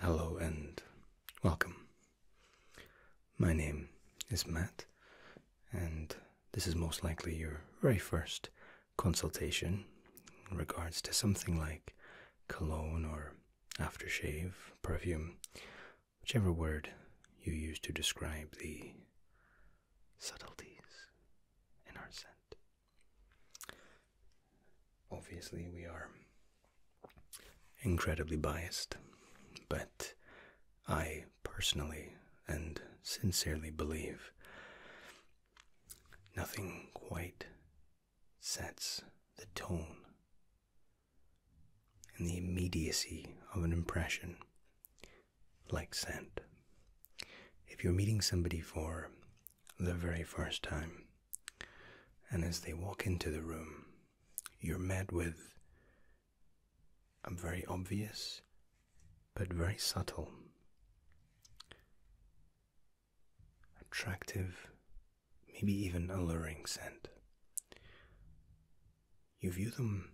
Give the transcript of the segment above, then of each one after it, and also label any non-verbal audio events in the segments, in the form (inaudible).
Hello and welcome. My name is Matt, and this is most likely your very first consultation in regards to something like cologne or aftershave, perfume, whichever word you use to describe the subtleties in our scent. Obviously, we are incredibly biased, but I personally and sincerely believe nothing quite sets the tone and the immediacy of an impression like scent. If you're meeting somebody for the very first time, and as they walk into the room, you're met with a very obvious but very subtle, attractive, maybe even alluring scent. You view them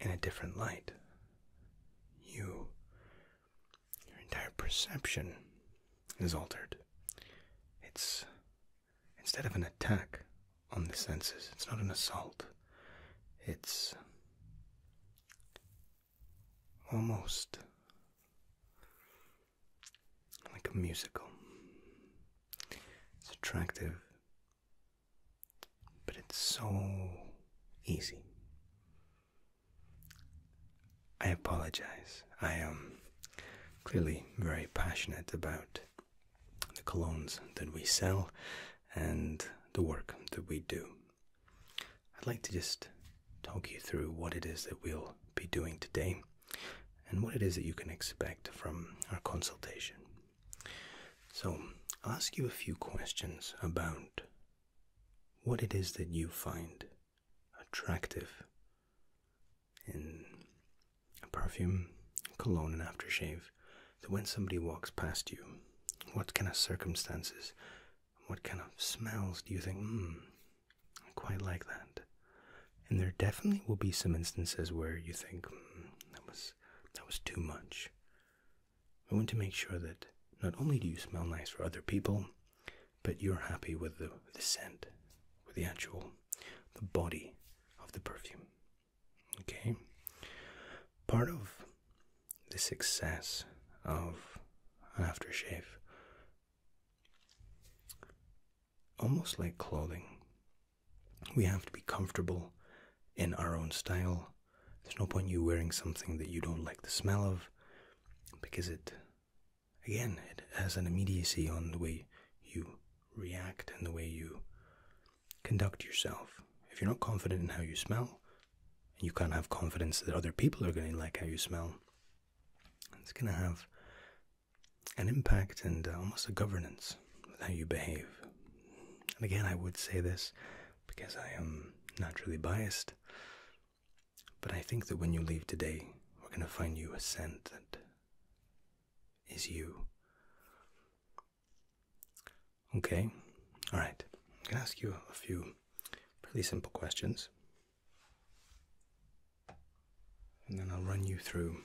in a different light. You, your entire perception is altered. It's instead of an attack on the senses, it's not an assault. It's almost like a musical. It's attractive but it's so easy. I apologize. I am um, clearly very passionate about the colognes that we sell and the work that we do. I'd like to just talk you through what it is that we'll be doing today and what it is that you can expect from our consultation. So, I'll ask you a few questions about what it is that you find attractive in perfume, cologne, and aftershave. That when somebody walks past you, what kind of circumstances, what kind of smells do you think, hmm, I quite like that? And there definitely will be some instances where you think, mm, that was that was too much. I want to make sure that not only do you smell nice for other people, but you're happy with the, the scent, with the actual the body of the perfume. Okay? Part of the success of an aftershave, almost like clothing, we have to be comfortable in our own style there's no point you wearing something that you don't like the smell of because it, again, it has an immediacy on the way you react and the way you conduct yourself. If you're not confident in how you smell, you can't have confidence that other people are going to like how you smell, it's going to have an impact and uh, almost a governance with how you behave. And again, I would say this because I am naturally biased. But I think that when you leave today, we're going to find you a scent that is you. Okay, alright. I'm going to ask you a few pretty simple questions. And then I'll run you through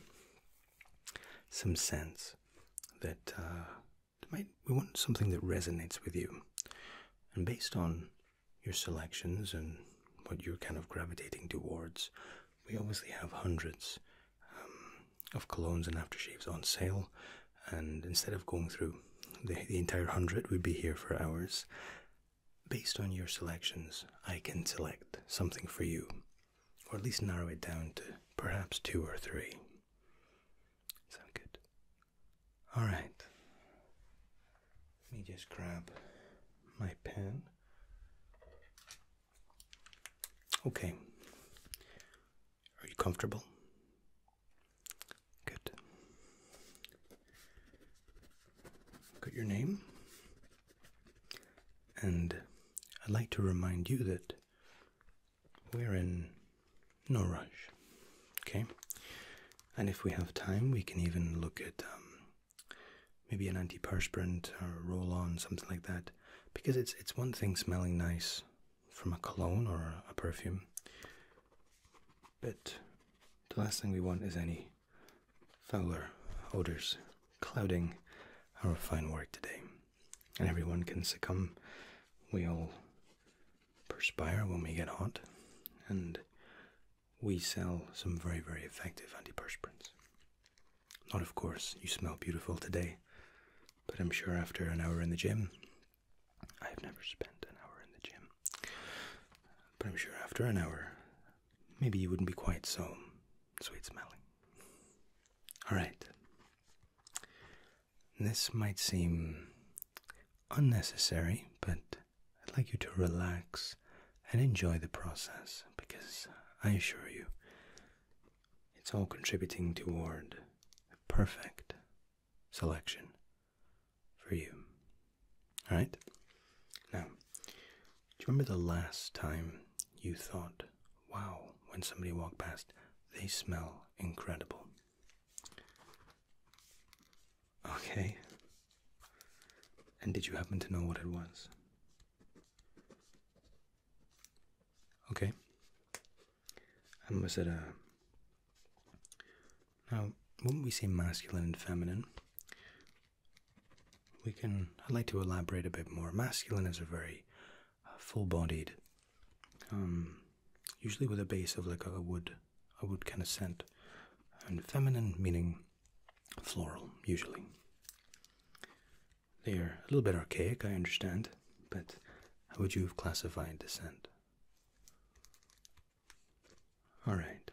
some scents that uh, we want something that resonates with you. And based on your selections and what you're kind of gravitating towards, we obviously have hundreds um, of colognes and aftershaves on sale. And instead of going through the entire hundred, we'd be here for hours. Based on your selections, I can select something for you, or at least narrow it down to perhaps two or three. Sound good? Alright. Let me just grab my pen. Okay. Are you comfortable? Good. Got your name? And I'd like to remind you that we're in no rush. Okay? And if we have time, we can even look at um, maybe an antiperspirant or uh, roll on, something like that. Because it's, it's one thing smelling nice from a cologne or a perfume, but the last thing we want is any fouler odors clouding our fine work today and everyone can succumb. We all perspire when we get hot, and we sell some very, very effective antiperspirants. Not, of course, you smell beautiful today, but I'm sure after an hour in the gym, I've never spent an hour in the gym, but I'm sure after an hour, maybe you wouldn't be quite so sweet smelling. All right. This might seem unnecessary, but I'd like you to relax and enjoy the process because I assure you it's all contributing toward perfect selection for you. Alright? Now, do you remember the last time you thought wow when somebody walked past. They smell incredible. Okay. And did you happen to know what it was? Okay. Um, was it a. Now, wouldn't we say masculine and feminine? We can. I'd like to elaborate a bit more. Masculine is a very full-bodied, um, usually with a base of like a wood, a wood kind of scent, and feminine meaning floral usually. They are a little bit archaic, I understand, but how would you have classified the scent? All right.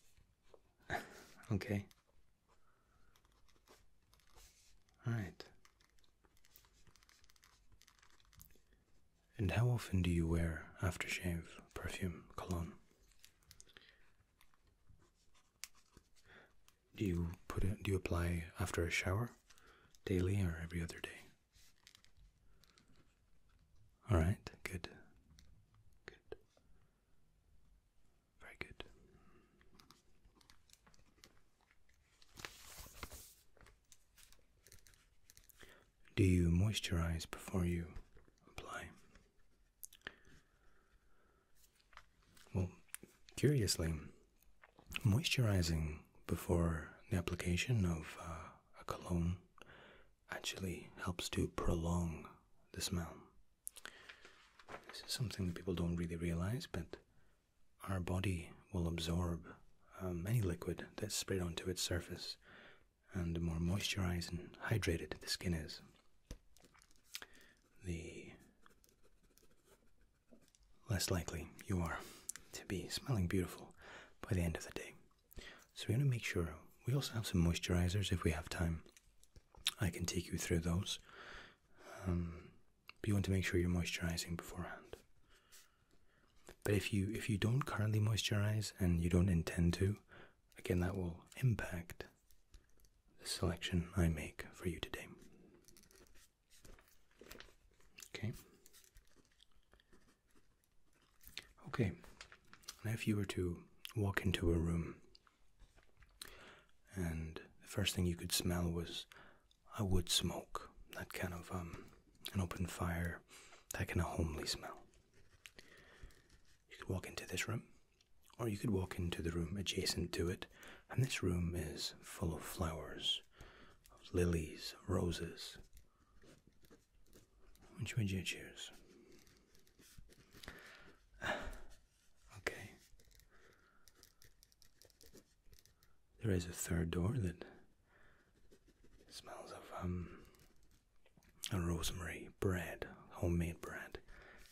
(laughs) okay. All right. And how often do you wear aftershave, perfume, cologne? Do you put it? Do you apply after a shower, daily or every other day? All right, good, good, very good. Do you moisturize before you apply? Well, curiously, moisturizing before the application of uh, a cologne actually helps to prolong the smell. This is something that people don't really realize, but our body will absorb um, any liquid that's sprayed onto its surface, and the more moisturized and hydrated the skin is, the less likely you are to be smelling beautiful by the end of the day. So, we want to make sure we also have some moisturizers if we have time. I can take you through those. Um, but you want to make sure you're moisturizing beforehand. But if you if you don't currently moisturize and you don't intend to, again that will impact the selection I make for you today. Okay. Okay. Now if you were to walk into a room and the first thing you could smell was a wood smoke, that kind of um, an open fire, that kind of homely smell. You could walk into this room, or you could walk into the room adjacent to it, and this room is full of flowers, of lilies, roses. Which would you choose? (sighs) okay. There is a third door that smells of um, a rosemary bread, homemade bread,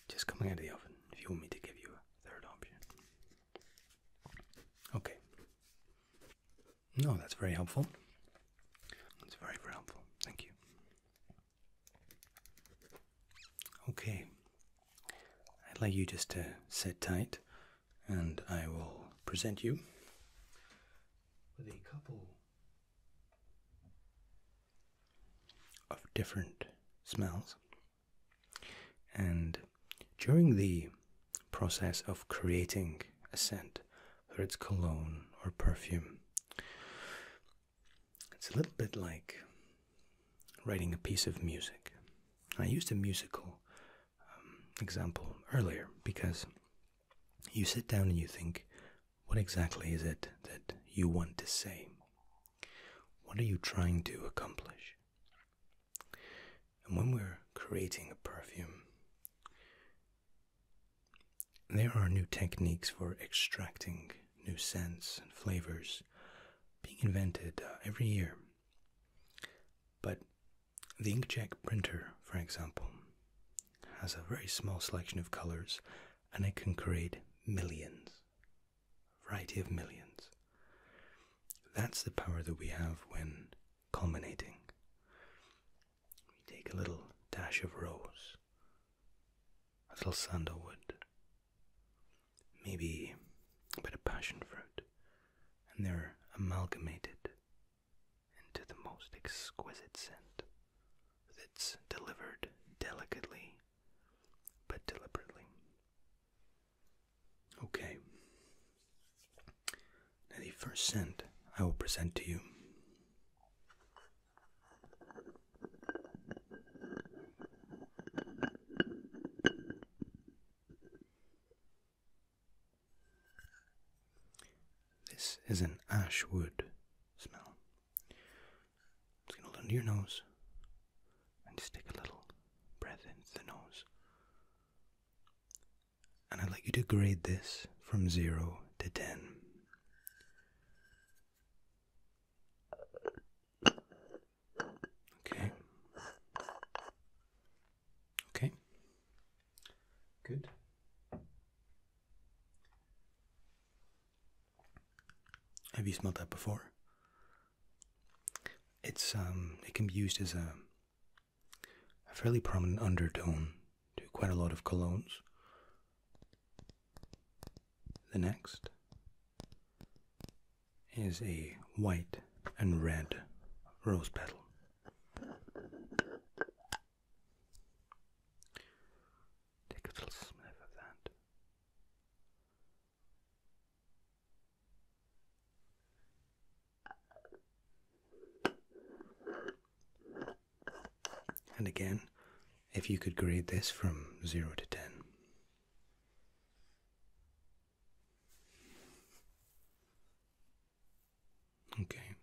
just coming out of the oven. If you want me to give you a third option, okay. No, that's very helpful. That's very, very helpful. Thank you. Okay, I'd like you just to sit tight and I will present you with a couple of different smells. And during the process of creating a scent, whether it's cologne or perfume, it's a little bit like writing a piece of music. I used a musical um, example earlier because you sit down and you think, what exactly is it that you want to say? What are you trying to accomplish? And when we're creating a perfume, there are new techniques for extracting new scents and flavors being invented uh, every year but the inkjet printer, for example, has a very small selection of colors and it can create millions, variety of millions. That's the power that we have when culminating. We take a little dash of rose, a little sandalwood, maybe a bit of passion fruit, and they're amalgamated into the most exquisite scent that's delivered delicately but deliberately. Okay. Now, the first scent I will present to you this is an ash wood smell. It's gonna hold under your nose and just take a little breath in the nose. And I'd like you to grade this from zero to ten. Okay. Okay. Good. Have you smelled that before? It's um it can be used as a a fairly prominent undertone to quite a lot of colognes. The next is a white and red rose petal. Take a little sniff of that. And again, if you could grade this from 0 to 10, Okay.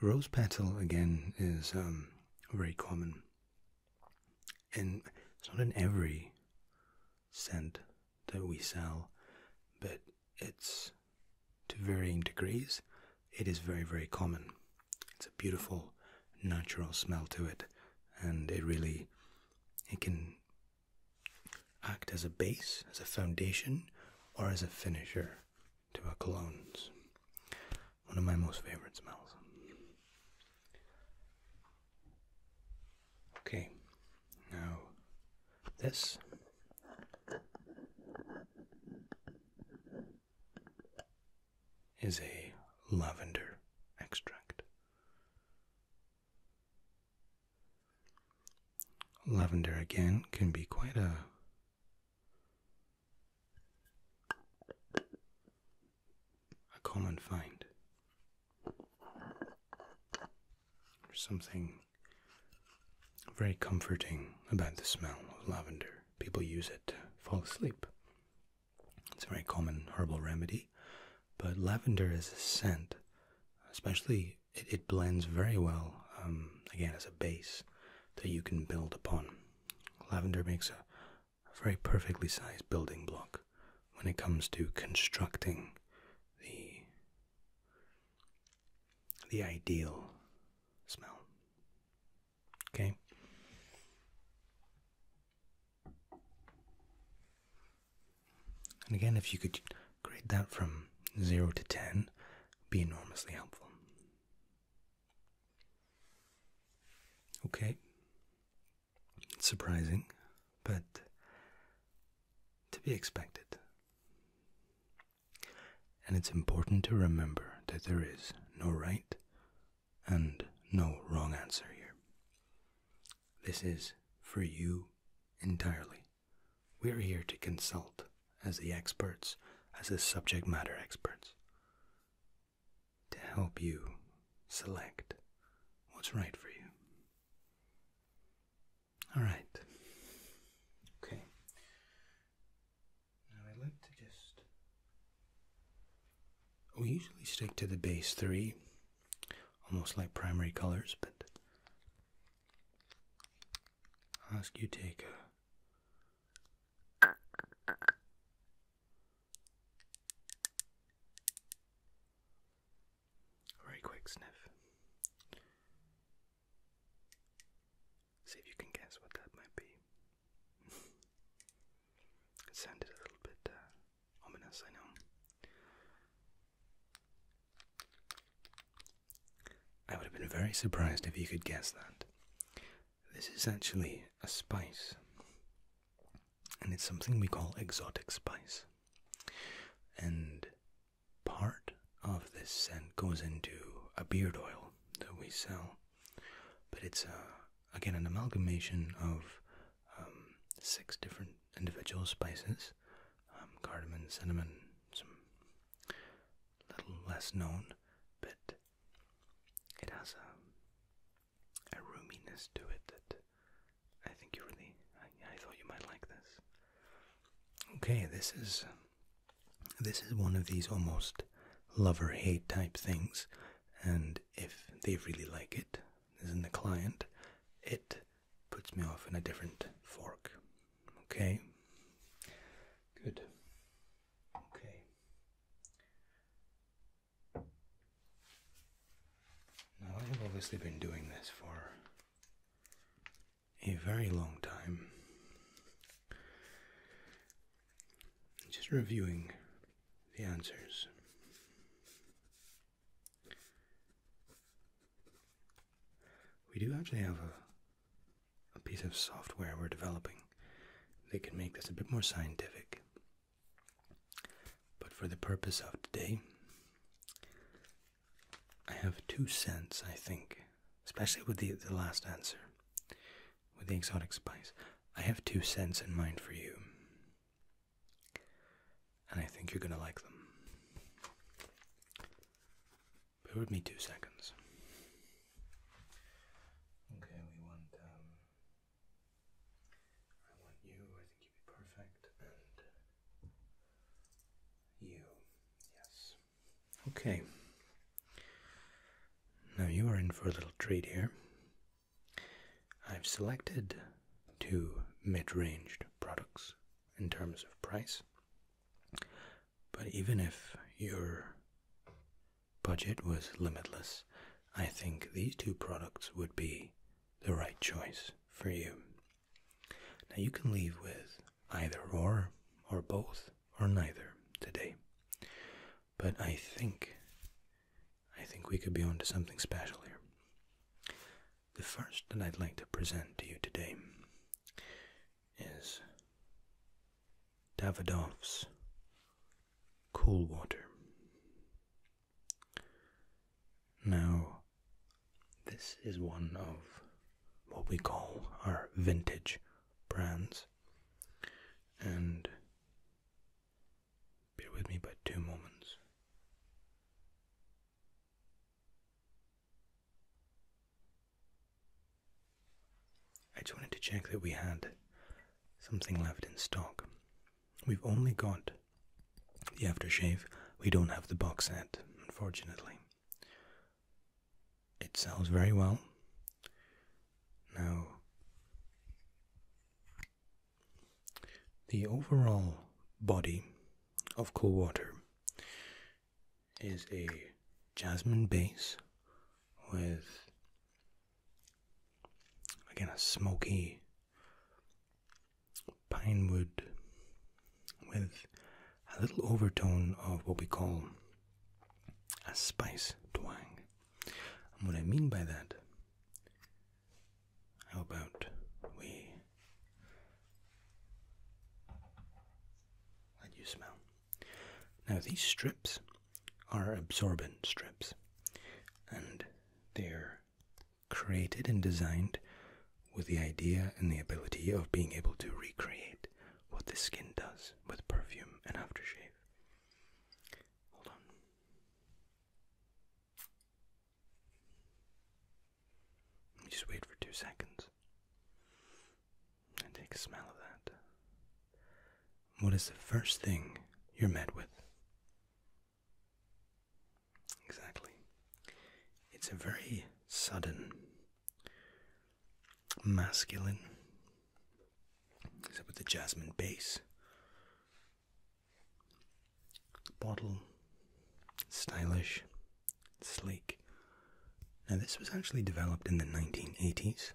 Rose petal again is um, very common, and it's not in every scent that we sell, but it's to varying degrees. It is very, very common. It's a beautiful, natural smell to it, and it really it can act as a base, as a foundation, or as a finisher to our colognes. One of my most favorite smells. Okay, now this. Is a lavender extract. Lavender again can be quite a a common find. There's something very comforting about the smell of lavender. People use it to fall asleep. It's a very common herbal remedy, but lavender is a scent, especially it, blends very well, um, again, as a base that you can build upon. Lavender makes a, a very perfectly sized building block when it comes to constructing the the ideal smell. Okay. And again, if you could grade that from 0 to 10, be enormously helpful. Okay, it's surprising, but to be expected. And it's important to remember that there is no right and no wrong answer here. This is for you entirely. We're here to consult as the experts, as the subject matter experts, to help you select what's right for you. All right. Okay. Now I'd like to just. We usually stick to the base three almost like primary colors, but I'll ask you take a very quick sniff. See if you can guess what that might be. (laughs) it a little bit uh, Ominous, I know. I would have been very surprised if you could guess that. This is actually a spice, and it's something we call exotic spice. And part of this scent goes into a beard oil that we sell, but it's a, uh, again an amalgamation of um, six different individual spices um, cardamom, cinnamon, some little less known, but it has a, a roominess to it that I think you really, I, I thought you might like this. Okay, this is this is one of these almost love or hate type things, and if they really like it, is in the client, it puts me off in a different fork. Okay? Good. Okay. Now, I've obviously been doing this for a very long time. Just reviewing the answers. We do actually have a, piece of software we're developing that can make this a bit more scientific. But for the purpose of today, I have two cents. I think, especially with the, the last answer, with the exotic spice. I have two cents in mind for you. And I think you're gonna like them. Bear with me two seconds. Okay, we want, um, I want you, I think you'd be perfect, and you, yes. Okay. Now you are in for a little treat here. I've selected two mid-range products in terms of price. But even if your budget was limitless, I think these two products would be the right choice for you. Now you can leave with either or, or both, or neither today. But I think I think we could be onto something special here. The first that I'd like to present to you today is Davidoff's Cool Water. Now, this is one of what we call our vintage brands, and Bear with me by two moments. I just wanted to check that we had something left in stock. We've only got the aftershave. We don't have the box set, unfortunately. It sells very well. Now, the overall body of cool water is a jasmine base with again a smoky pine wood with a little overtone of what we call a spice twang. what I mean by that how about we let you smell? Now, these strips are absorbent strips, and they're created and designed with the idea and the ability of being able to recreate what the skin does with perfume and aftershave. Hold on just wait for two seconds and take a smell of that. What is the first thing you're met with? Exactly. It's a very sudden, masculine, except with the jasmine base bottle, stylish, sleek. Now, this was actually developed in the 1980s.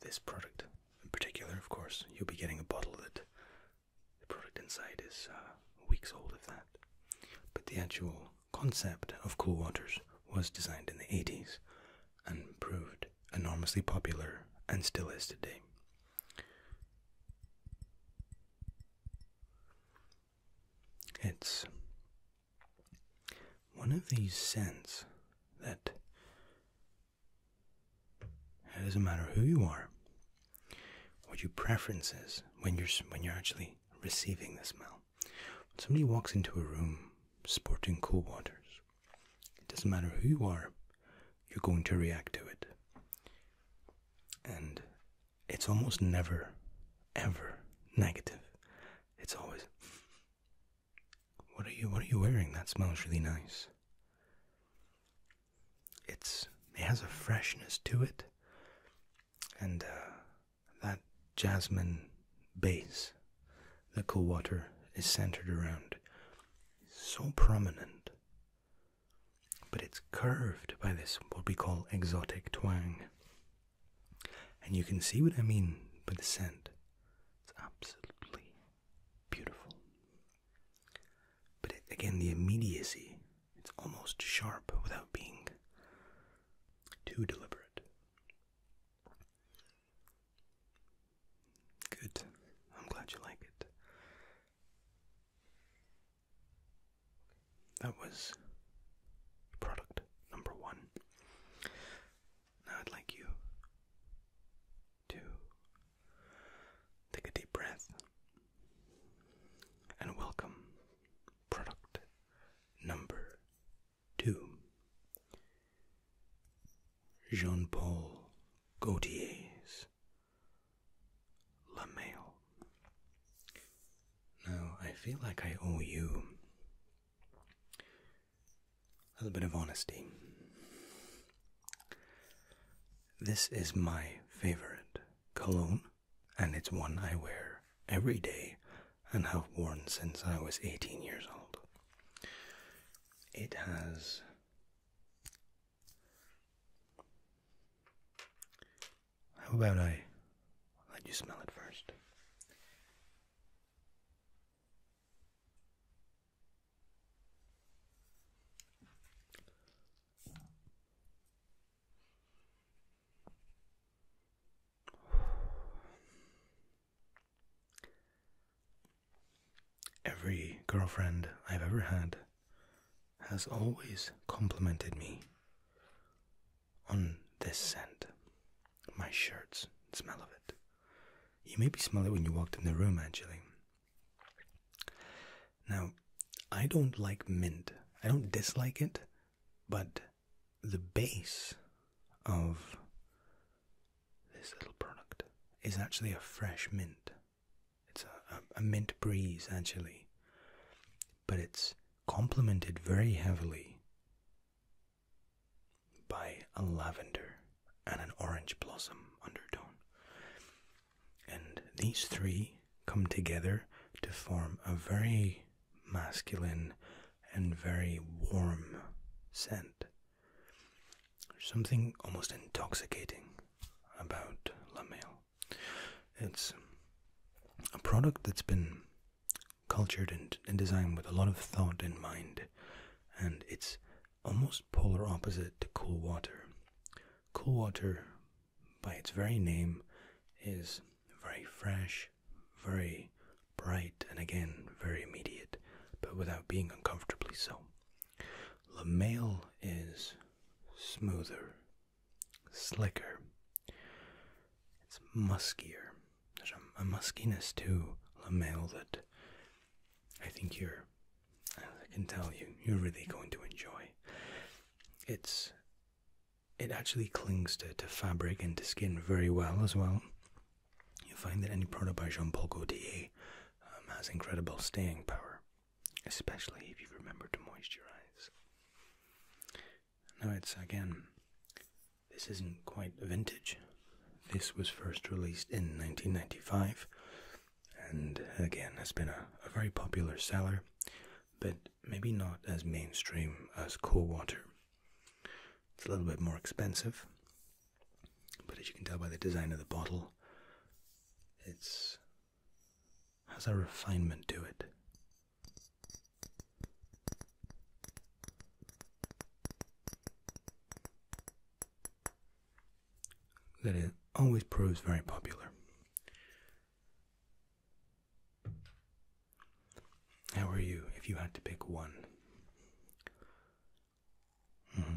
This product, in particular, of course, you'll be getting a bottle that the product inside is uh, weeks old, of that. But the actual concept of cool waters was designed in the 80s and proved enormously popular and still is today. It's one of these scents that it doesn't matter who you are, what your preference is when you're when you're actually receiving the smell. When somebody walks into a room sporting cool waters, it doesn't matter who you are, you're going to react to it. And it's almost never, ever negative. It's always, what are you? What are you wearing? That smells really nice. It's it has a freshness to it, and uh, that jasmine base that Cool Water is centered around is so prominent but it's curved by this, what we call exotic twang. And you can see what I mean by the scent. It's absolutely beautiful. But again, the immediacy, it's almost sharp without being too deliberate. Good. I'm glad you like it. That was product number one. Now I'd like you to take a deep breath and welcome product number two Jean Paul Gautiers. LaMail. Now, I feel like I owe you a little bit of honesty. This is my favorite cologne, and it's one I wear every day and have worn since I was 18 years old. It has how about I let you smell it first? Every girlfriend I've ever had has always complimented me on this scent. My shirts, smell of it. You maybe smell it when you walked in the room, actually. Now, I don't like mint. I don't dislike it, but the base of this little product is actually a fresh mint. It's a, mint breeze actually, but it's complemented very heavily by a lavender and an orange blossom undertone. And these three come together to form a very masculine and very warm scent. There's something almost intoxicating about La It's a product that's been cultured and, and designed with a lot of thought in mind, and it's almost polar opposite to cool water. Cool water, by its very name, is very fresh, very bright, and again, very immediate, but without being uncomfortably so. The male is smoother, slicker, it's muskier. There's a, muskiness to the male that I think you're, I can tell you, you're really going to enjoy. It's, it actually clings to, to fabric and to skin very well as well. You will find that any product by Jean Paul Gaultier um, has incredible staying power, especially if you remember to moisturize. Now, it's again, this isn't quite a vintage. This was first released in 1995 and again has been a very popular seller, but maybe not as mainstream as Cool Water. It's a little bit more expensive, but as you can tell by the design of the bottle, it's has a refinement to it. That it always proves very popular. How are you if you had to pick one? Mm-hmm.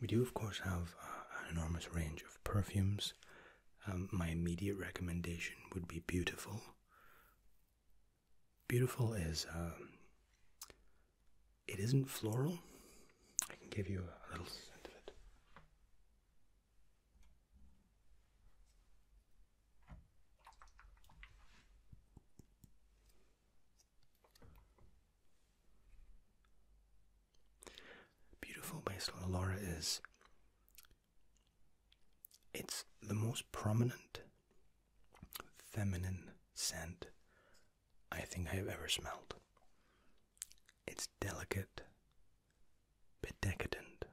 We do, of course, have uh, an enormous range of perfumes. Um, my immediate recommendation would be Beautiful. Beautiful is, um, it isn't floral. I can give you a little scent of it. Beautiful by Slow Laura is it's the most prominent feminine scent I think I have ever smelled. It's delicate, but decadent.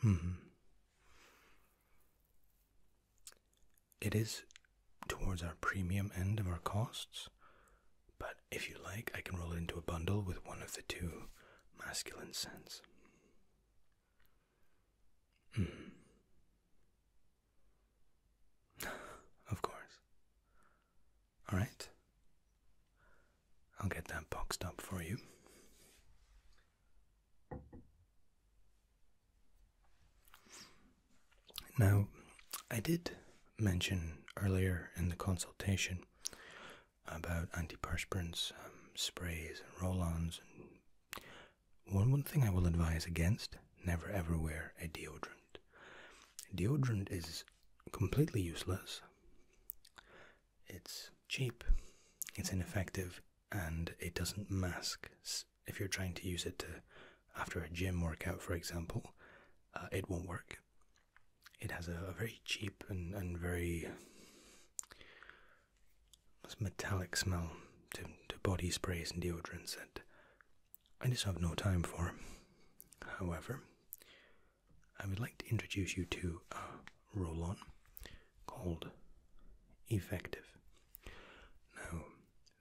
Hmm it is towards our premium end of our costs. But if you like, I can roll it into a bundle with one of the two masculine scents. Hmm. (sighs) of course. Alright. I'll get that boxed up for you. Now, I did mention earlier in the consultation about antiperspirants, um, sprays, and roll ons. one, one thing I will advise against never ever wear a deodorant. Deodorant is completely useless, it's cheap, it's ineffective, and it doesn't mask if you're trying to use it to after a gym workout, for example, uh, it won't work. It has a, very cheap and, very metallic smell to, to body sprays and deodorants that I just have no time for. However, I would like to introduce you to a roll on called Effective. Now,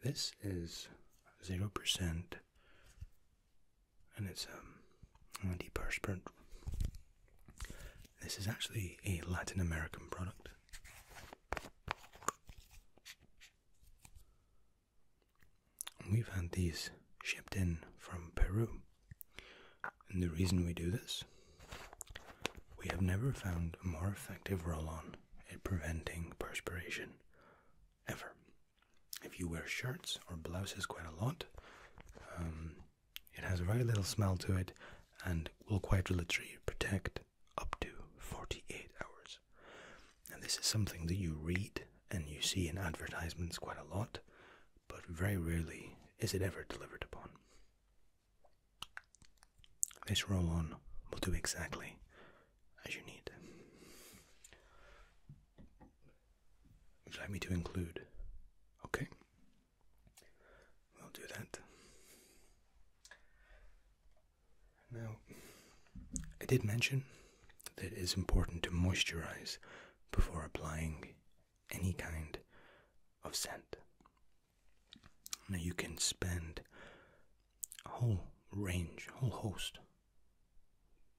this is 0% and it's um, a deperspirant. This is actually a Latin American product. We've had these shipped in from Peru. And the reason we do this, we have never found a more effective roll on on preventing perspiration ever. If you wear shirts or blouses quite a lot, um, it has very little smell to it and will quite literally protect up to 48 hours. And this is something that you read and you see in advertisements quite a lot, but very rarely is it ever delivered upon. This roll-on will do exactly as you need. Would like me to include? Okay. We'll do that. Now, I did mention that it is important to moisturize before applying any kind of scent. Now you can spend a whole range, a whole host,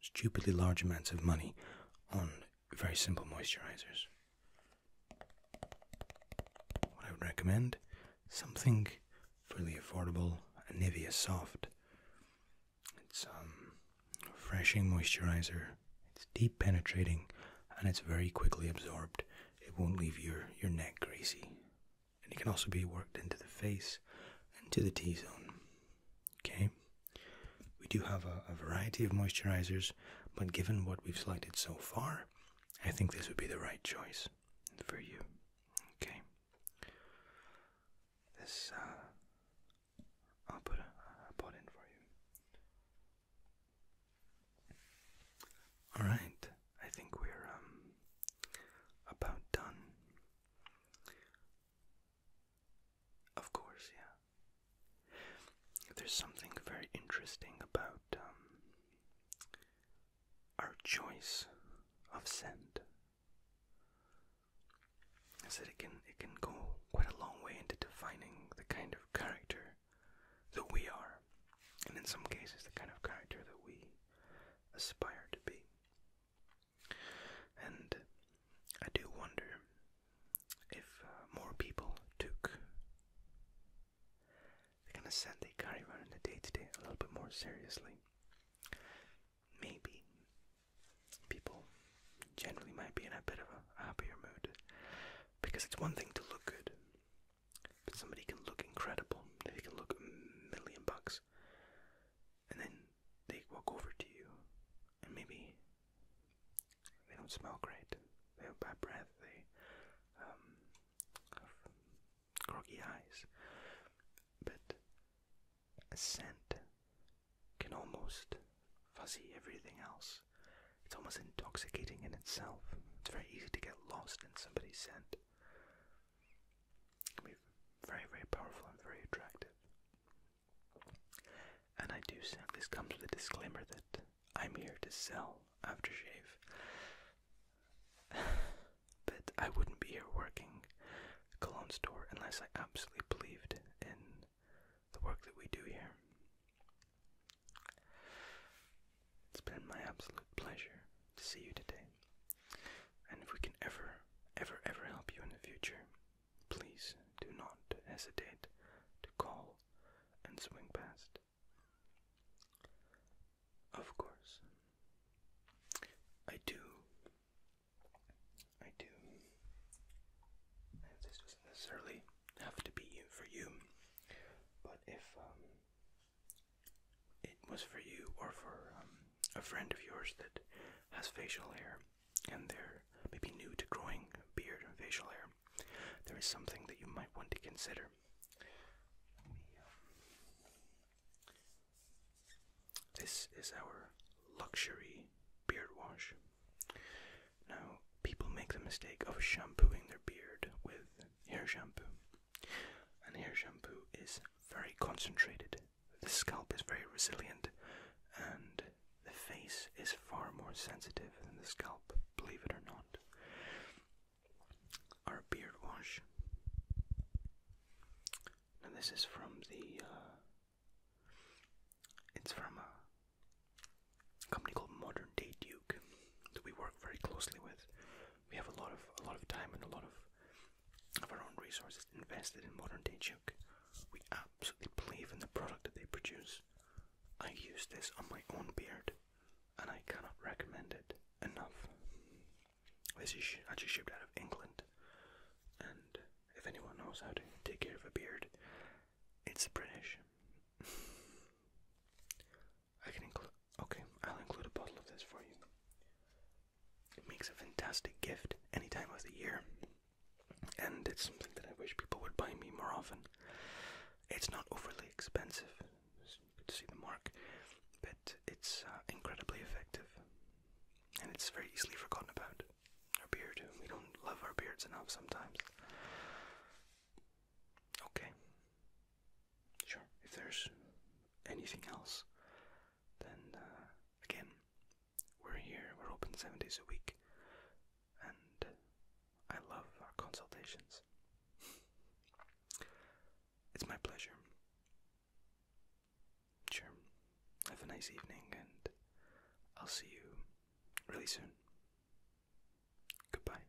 stupidly large amounts of money on very simple moisturizers. What I would recommend something fairly affordable, a Nivea Soft. It's um, a refreshing moisturizer. It's deep penetrating, and it's very quickly absorbed. It won't leave your your neck greasy and it can also be worked into the face and to the T zone. Okay, we do have a, variety of moisturizers, but given what we've selected so far, I think this would be the right choice for you. Okay, this uh, I'll put a, I'll in for you. All right, I think we're um about done. Of course, yeah. There's something very interesting about um our choice of scent. I said it can it can go quite a long way into defining the kind of character that we are, and in some cases, the kind of character that we aspire to be. And I do wonder if uh, more people took the kind of scent they carry around in the day to day a little bit more seriously. Maybe people generally might be in a bit of a happier mood because it's one thing to look good, but somebody can look incredible. They can look a million bucks. And then they walk over to you, and maybe they don't smell great. They have bad breath. They um, have groggy eyes. But scent can almost fuzzy everything else. It's almost intoxicating in itself. It's very easy to get lost in somebody's scent can be very, very powerful and very attractive. And I do say this comes with a disclaimer that I'm here to sell aftershave. (sighs) but I wouldn't be here working a cologne store unless I absolutely believed in the work that we do here. It's been my absolute pleasure to see you today. And if we can ever, ever, ever help you in the future, please do not hesitate to call and swing past. Of course, I do. I do. This doesn't necessarily have to be for you, but if um, it was for you or for um, a friend of yours that has facial hair and they're maybe new to growing beard and facial hair, there is something that you might want to consider. This is our luxury beard wash. Now, people make the mistake of shampooing their beard with hair shampoo. And here, shampoo is very concentrated. The scalp is very resilient, and the face is far more sensitive than the scalp, believe it or not. Our beard wash. Now this is from the. Uh, it's from a company called Modern Day Duke that we work very closely with. We have a lot of a lot of time and a lot of of our own resources invested in modern day Duke. We absolutely believe in the product that they produce. I use this on my own beard, and I cannot recommend it enough. This is actually shipped out of England, and if anyone knows how to take care of a beard, it's a British. (laughs) I can include. Okay, I'll include a bottle of this for you. It makes a fantastic gift any time of the year, and it's something that I wish people would buy me more often. It's not overly expensive, you could see the mark, but it's uh, incredibly effective, and it's very easily forgotten about. Our beard, we don't love our beards enough sometimes. Okay, sure, if there's anything else, then uh, again, we're here, we're open seven days a week, and I love our consultations. it's my pleasure. Sure, have a nice evening, and I'll see you really soon. Goodbye.